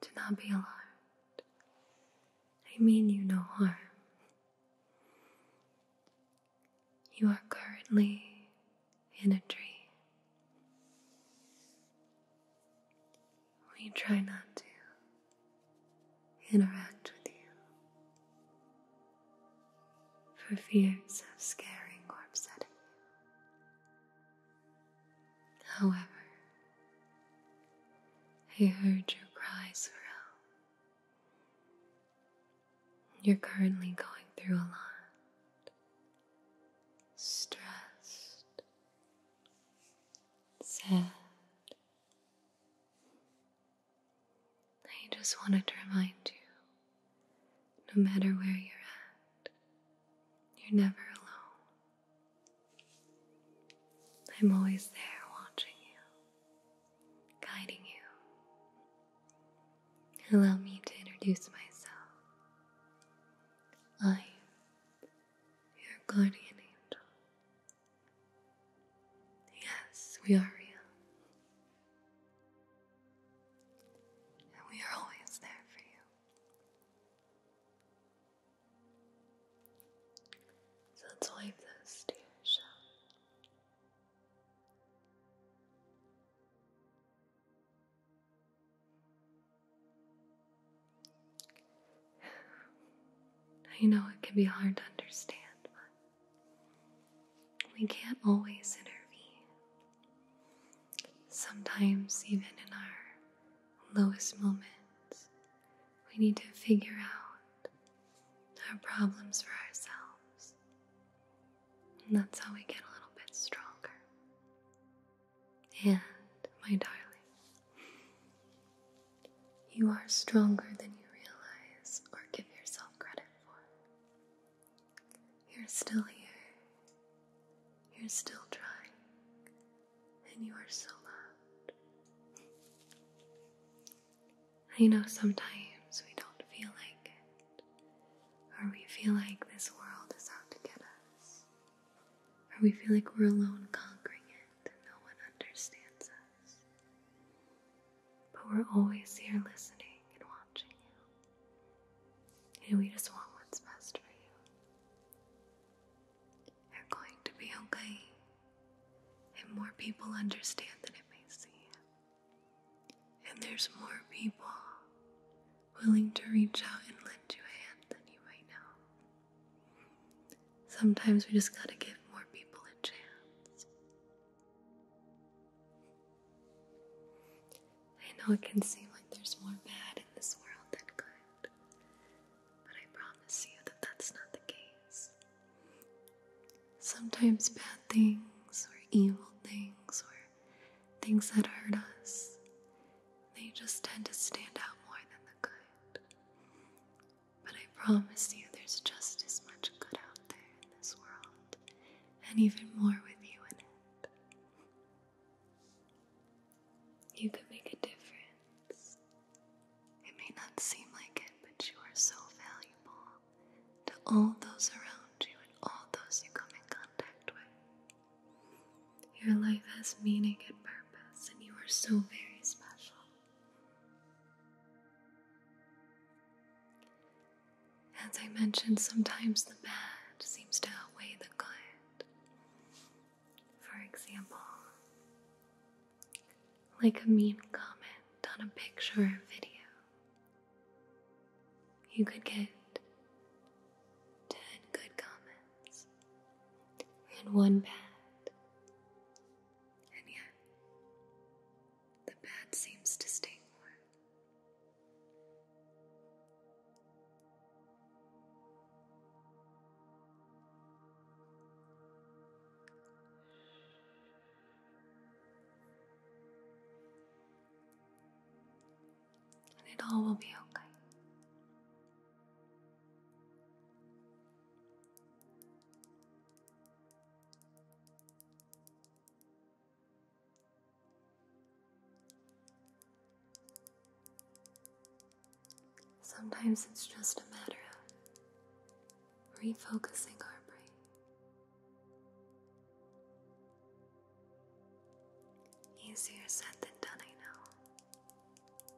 Do not be alarmed. I mean you no harm. You are currently in a dream. We try not to interact with you for fears of scaring or upsetting you. However, I heard your cries for help. You're currently going through a lot, stressed, sad. I just wanted to remind you no matter where you're at, you're never alone. I'm always there watching you, guiding you. Allow me to introduce myself. I am your guardian angel. Yes, we are real we are always there for you. So let's wipe those tears out. I know it can be hard to understand, we can't always intervene. Sometimes, even in our lowest moments, we need to figure out our problems for ourselves. And that's how we get a little bit stronger. And, my darling, you are stronger than you realize or give yourself credit for. You're still here. You're still trying. And you are so loved. I know sometimes we don't feel like it, or we feel like this world is out to get us, or we feel like we're alone conquering it and no one understands us but we're always here listening and watching you. And we just want what's best for you. You're going to be okay. And more people understand than it may seem. And there's more people willing to reach out and lend you a hand than you might know. Sometimes we just gotta give more people a chance. I know it can seem like there's more bad in this world than good, but I promise you that that's not the case. Sometimes bad things, or evil things, or things that hurt us, they just tend to stand out more than the good. But I promise you, there's just as much good out there in this world and even more with you in it. You could make a difference. It may not seem like it, but you are so valuable to all those around you and all those you come in contact with. Your life has meaning and purpose, and you are so very special. As I mentioned, sometimes the bad seems to outweigh the good. For example, like a mean comment on a picture or video, you could get 10 good comments and one bad. And yet, the bed seems to stay warm. And it all will be okay. Sometimes it's just a matter of refocusing our brain. Easier said than done, I know.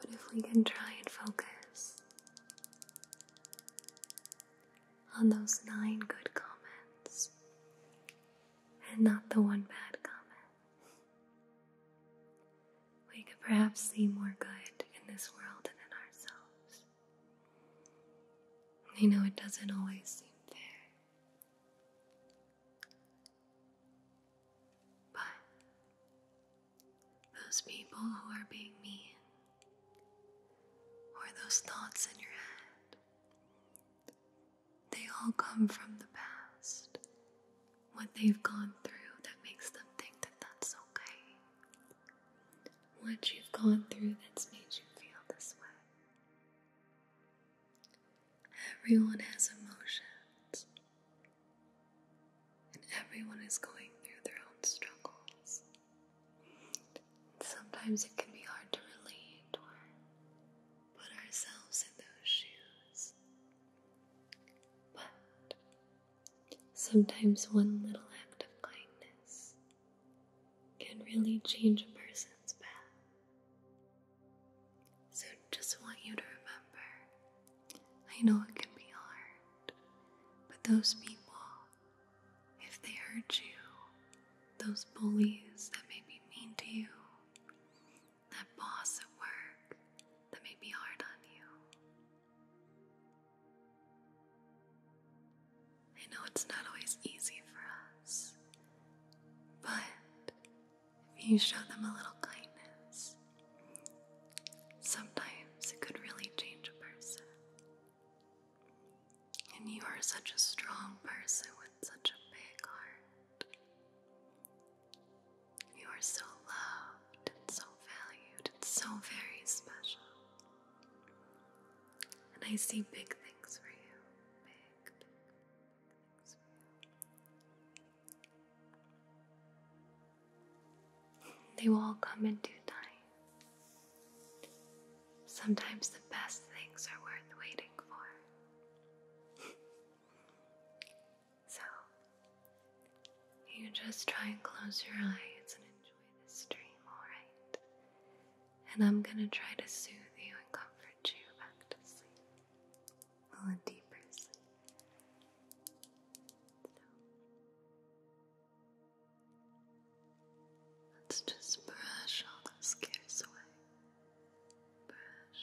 But if we can try and focus on those nine good comments and not the one bad comment, we could perhaps see more good in this world and in ourselves. You know it doesn't always seem fair. But those people who are being mean, or those thoughts in your head, they all come from the past, what they've gone through that makes them think that that's okay, what you've gone through that's made you feel this way. Everyone has emotions. And everyone is going through their own struggles. sometimes it can be hard to really put ourselves in those shoes. But sometimes one little act of kindness can really change a person's path. So just want you to remember I know it can be hard, but those people, if they hurt you, those bullies that may be mean to you, that boss at work that may be hard on you, I know it's not always easy for us, but if you show them a little kindness, sometimes it could really change a person. And you are such a strong person with such a big heart. You are so loved and so valued and so very special. And I see big things for you. big, big things for you. They will all come in due time. Sometimes the best things are worth waiting for. so, you just try and close your eyes and enjoy this dream, alright? And I'm gonna try to soothe you and comfort you back to sleep full and deep person. So, let's just brush all those cares away. Brush. Brush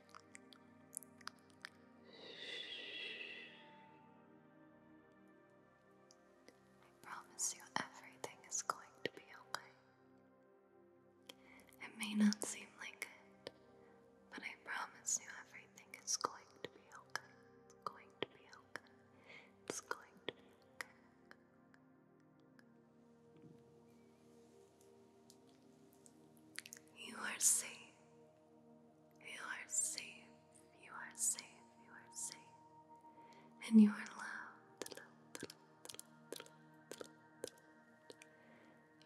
I promise you everything is going to be okay. It may not seem like it, but I promise you everything is going to be okay. It's going to be okay. It's going to be okay. You are safe. You are safe. You are safe. You are safe. And you are loved.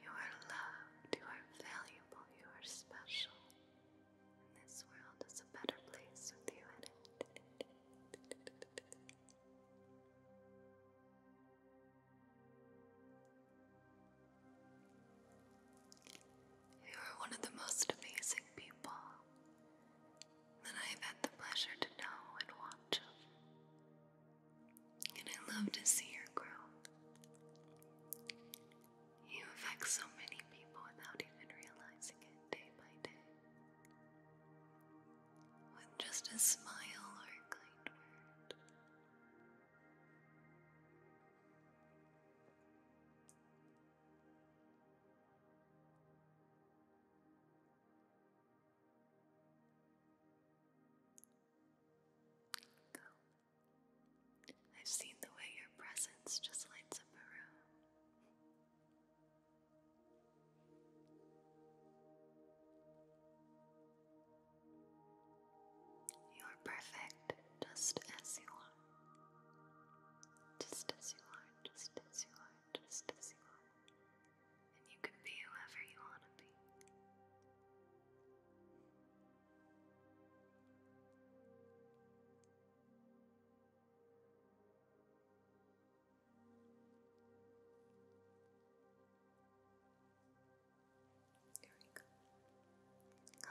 You are loved. You are valuable. You are special. And this world is a better place with you in it. You are one of the most amazing people that I have had the pleasure to know and watch. And I love to see your growth. You affect so many people without even realizing it day by day. With just a smile or kind word. I've seen the way your presence just lights up a room. You are perfect just as you are. Just as you are, just as you are, just as you are. And you can be whoever you want to be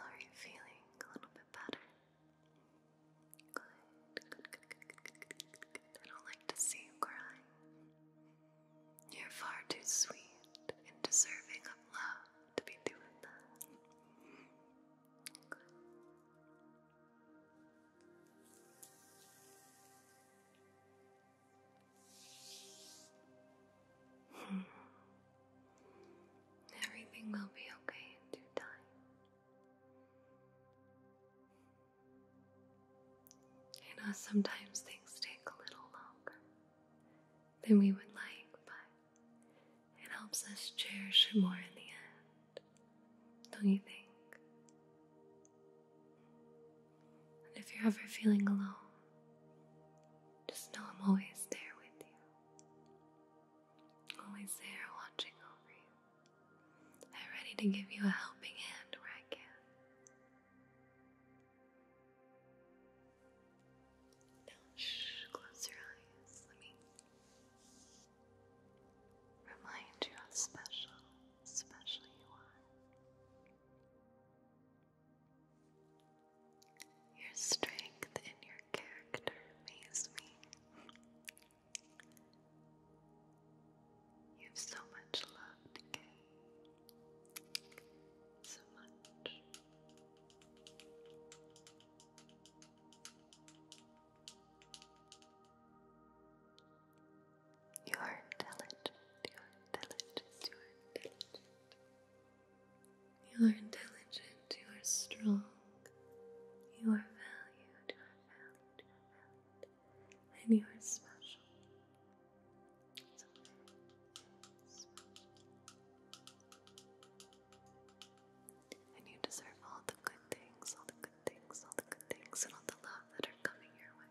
are you feeling? A little bit better? good, good, good, good, good, good. I don't like to see you cry. You're far too sweet and deserving of love to be doing that. Good. Everything will be okay in due time. You know, sometimes things take a little longer than we would like, but it helps us cherish it more in the end. Don't you think? And if you're ever feeling alone, just know I'm always there with you. Always there watching over you. I'm ready to give you a helping hand where I can. Now, shh, close your eyes. Let me remind you how special, special you are. Your strength and your character amaze me. You have so much love So much. You are intelligent. You are intelligent. You are intelligent. You are intelligent. You are strong. You are valued. And you are special. special. And you deserve all the good things, all the good things, all the good things, and all the love that are coming your way.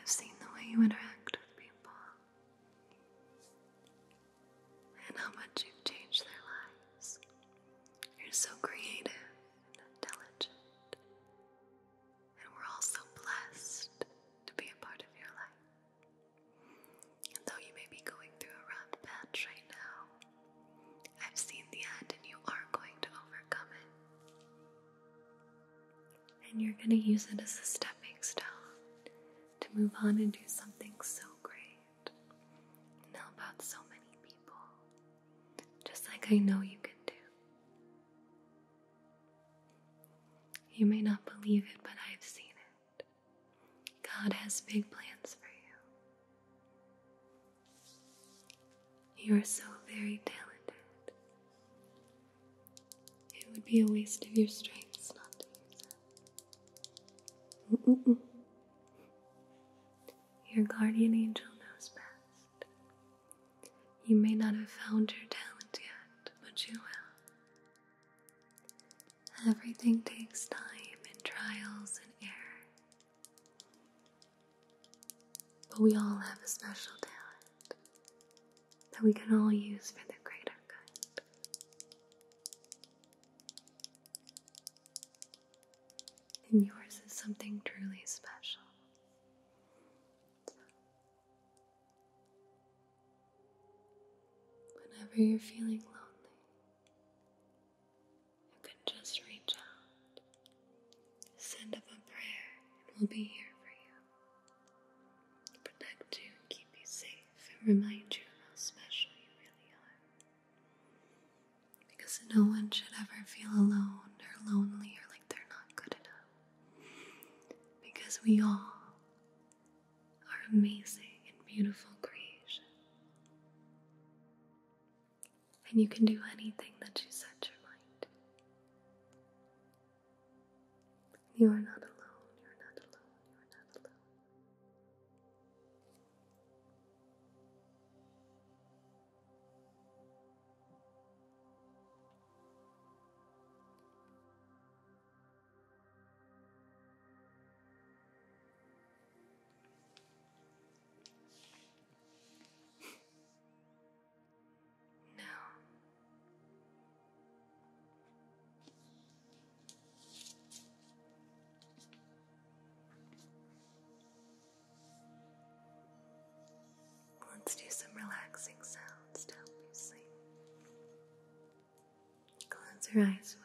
I've seen the way you interact with people and how much you've changed their lives. You're so creative and intelligent, and we're all so blessed to be a part of your life. though you may be going through a rough patch right now, I've seen the end, and you are going to overcome it. And you're going to use it as a stepping stone to move on and do something so great and help out so many people, just like I know you can do. You may not believe it, but I've seen it. God has big plans for you. You are so very talented. It would be a waste of your strengths not to use them. Your guardian angel knows best. You may not have found your talent yet, but you will. Everything takes time and trials and error. But we all have a special talent that we can all use for the greater good. And yours is something truly special. whenever you're feeling lonely, you can just reach out, send up a prayer, and we'll be here for you. Protect you, keep you safe, and remind you how special you really are. Because no one should ever feel alone or lonely or like they're not good enough. Because we all are amazing and beautiful creations and you can do anything that you set your mind You are not alone, you are not alone, you are not alone. No. Let's do some relaxing sounds to help you sleep. Close your eyes for me.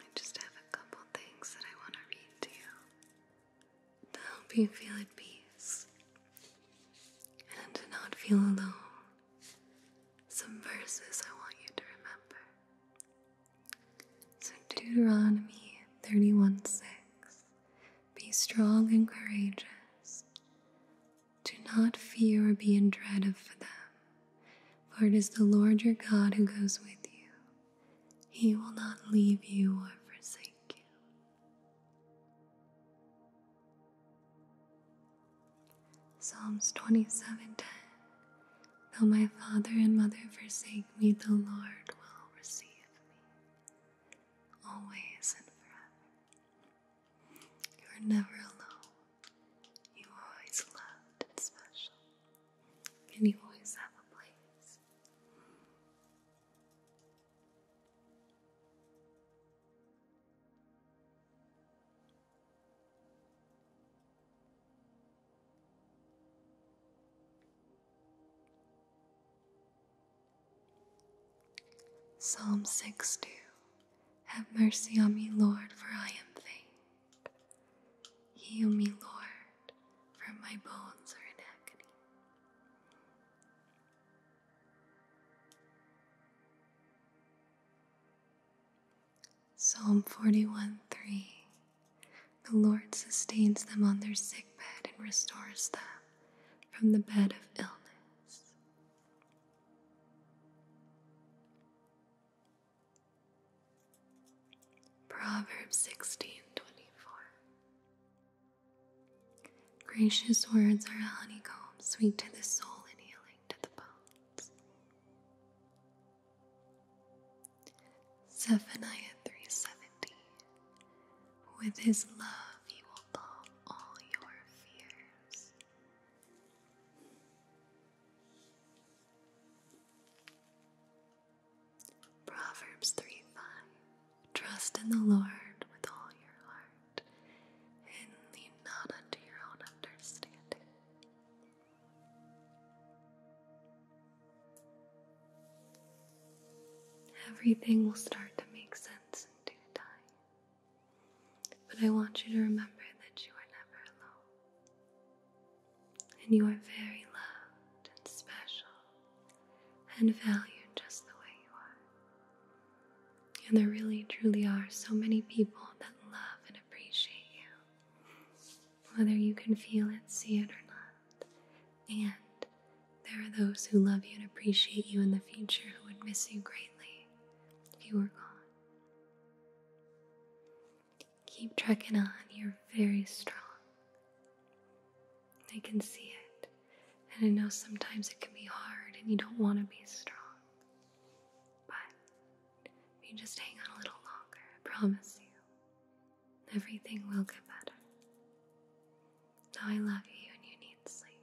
I just have a couple things that I want to read to you to help you feel at peace and not feel alone. Some verses I want you to remember. So, Deuteronomy 31 6 Be strong and courageous. Do not fear or be in dread of them, for it is the Lord your God who goes with you. He will not leave you or forsake you. Psalms 27:10 Though my father and mother forsake me, the Lord will receive me. Always and forever. You are never alone. You always loved and special, and you always have a place. Psalm 6 2 have mercy on me, Lord, for I am faint. Heal me, Lord, for my bones are in agony. Psalm 41 3 The Lord sustains them on their sick bed and restores them from the bed of illness. Proverbs 16:24 Gracious words are a honeycomb, sweet to the soul and healing to the bones. Zechariah 3:17 With his love he will calm all your fears. Proverbs 3 5 Trust in the Lord with all your heart and lean not unto your own understanding. Everything will start to make sense in due time. But I want you to remember that you are never alone. And you are very loved and special and valued just the way you are. And there really, truly are so many people that love and appreciate you, whether you can feel it, see it, or not. And there are those who love you and appreciate you in the future who would miss you greatly if you were gone. Keep trucking on. You're very strong. I can see it. And I know sometimes it can be hard and you don't want to be strong. But if you just hang on a little longer, I promise you, everything will get better. Now I love you and you need sleep.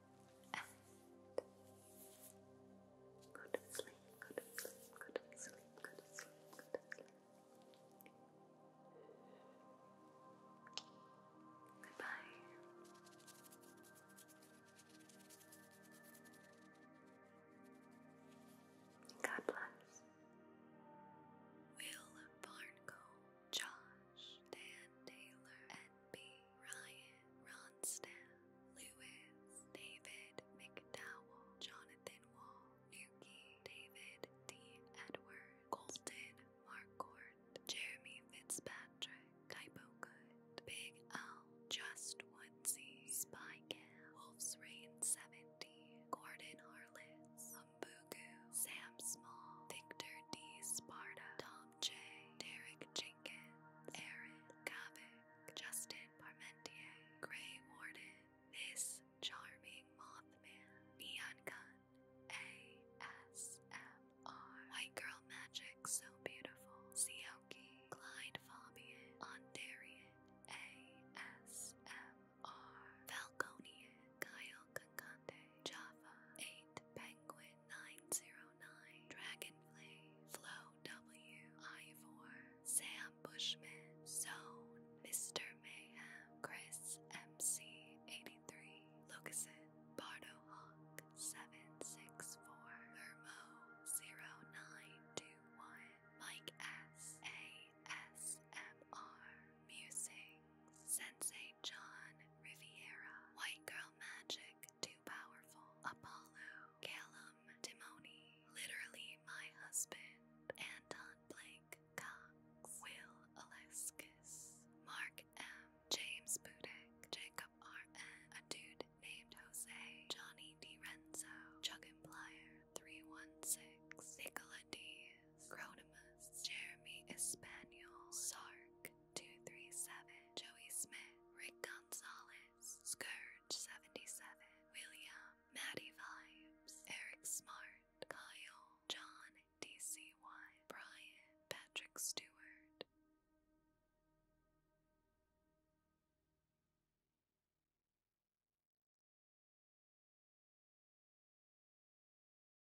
and go to sleep, go to sleep, go to sleep, go to sleep, go to sleep. Goodbye. God bless. Will Barnco, Josh, Dan Taylor, and B. Ryan, Ronstadt, Lewis, David McDowell, Jonathan Wall, Nuki, David D. Edward, Colton Marcourt, Jeremy Fitzpatrick, Typo Good, Big L, Just Woodsy, Spy Cam, Wolf's Rain 70, Gordon Harless, Umbugu, Sam Small, Victor D. Sparta, J, Derek Jenkins, Aaron Kavik, Justin Parmentier, Gray Warden, This Charming Mothman, Neon Gun, ASMR, White Girl Magic So Beautiful, Sioki, Clyde Fabian, Ondarian, ASMR, Falconian, Kyle Kakande, Java 8, Penguin 909, Dragonfly, Flow W I Four Sam Bushman, Zone, Mr. Mayhem, Chris MC 83, Lucasen, Bardo Hawk 764, Thermo 0921, Mike S A S M R Music, Sensei John Riviera, White Girl Magic, Too Powerful, Apollo, Calum Timoni, Literally My Husband, Anton Blake Cox, Will Aleskis, Mark M, James Budek, Jacob R.N., A Dude Named Jose, Johnny DiRenzo, Chuggin Plier, 316, Nicola D. Cronimus, Jeremy Espanol, Sark, 237, Joey Smith, Rick Gonzalez, Scourge77, William, Maddie Vibes, Eric Smart, Kyle, John DC1, Brian, Patrick Stewart.